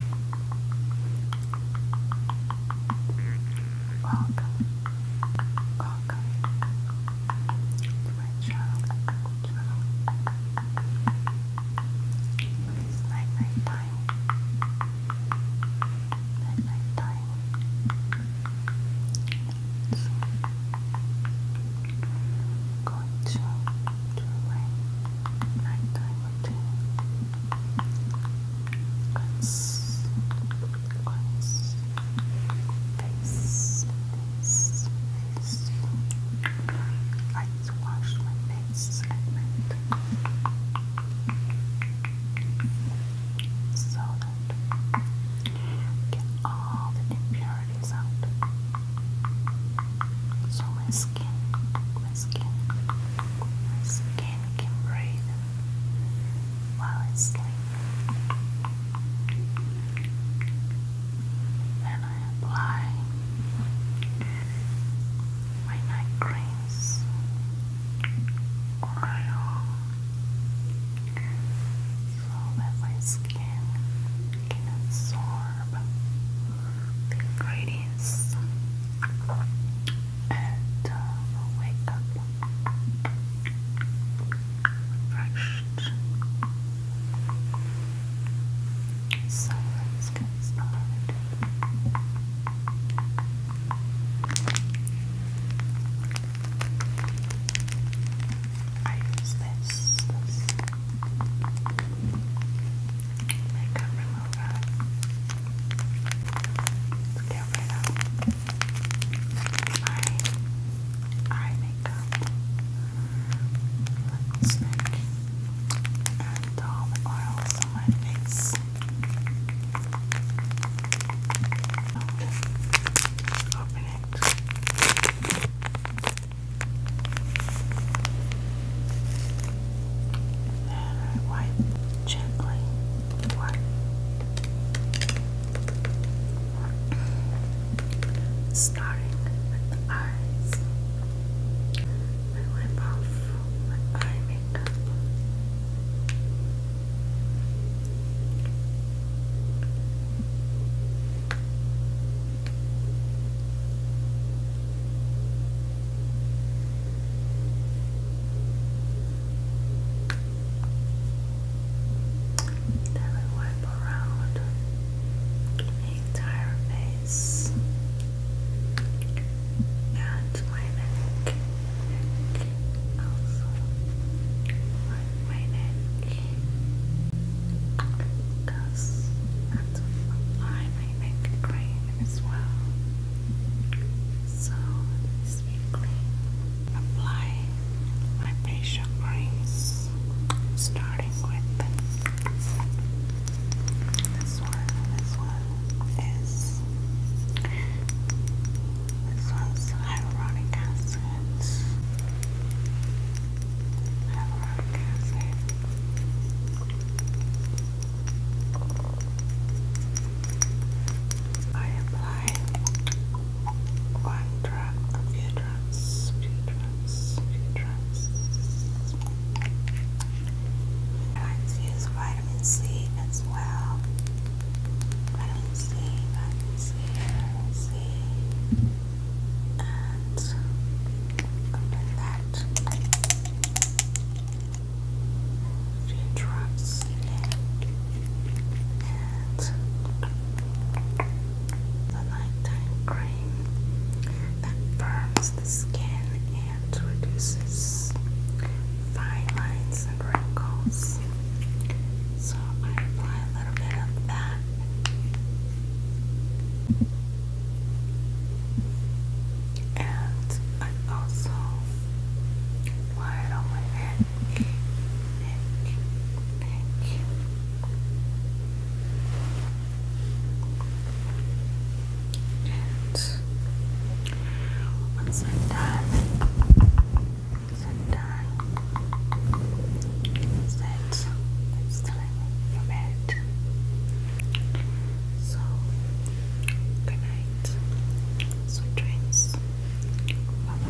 Welcome, welcome to my channel, channel. night, night time, night, night time. going to doing nighttime routine. Cleanse, cleanse, face, face, face. I wash my face at night so that get all the impurities. So my skin, my skin, my skin can breathe while I sleep. Then I apply my night creams, oil, so that my skin can absorb the ingredients and uh, wake up refreshed. So let's get started. I use this, makeup remover to get rid of eye makeup, lipstick, and all the oils my face. Open it wipe gently. Wipe. Starting with the eyes. I wipe off my eye makeup. Then we wipe around the entire face and my neck and also my neck because that's why my neck as well. So this weekly apply my facial creams starting with this one, this one is this one's hyaluronic acid. Hyaluronic acid. I apply one drop, a few drops, few drops, few drops. I infuse vitamin C as well. Vitamin C, vitamin C, vitamin C. And open that. Few drops And the nighttime cream that burns the skin and reduces fine lines and wrinkles. So I apply a little bit of that. And I also apply it on my neck, and once I'm done, once I'm done, it's time for bed. So good night. Sweet dreams. bye.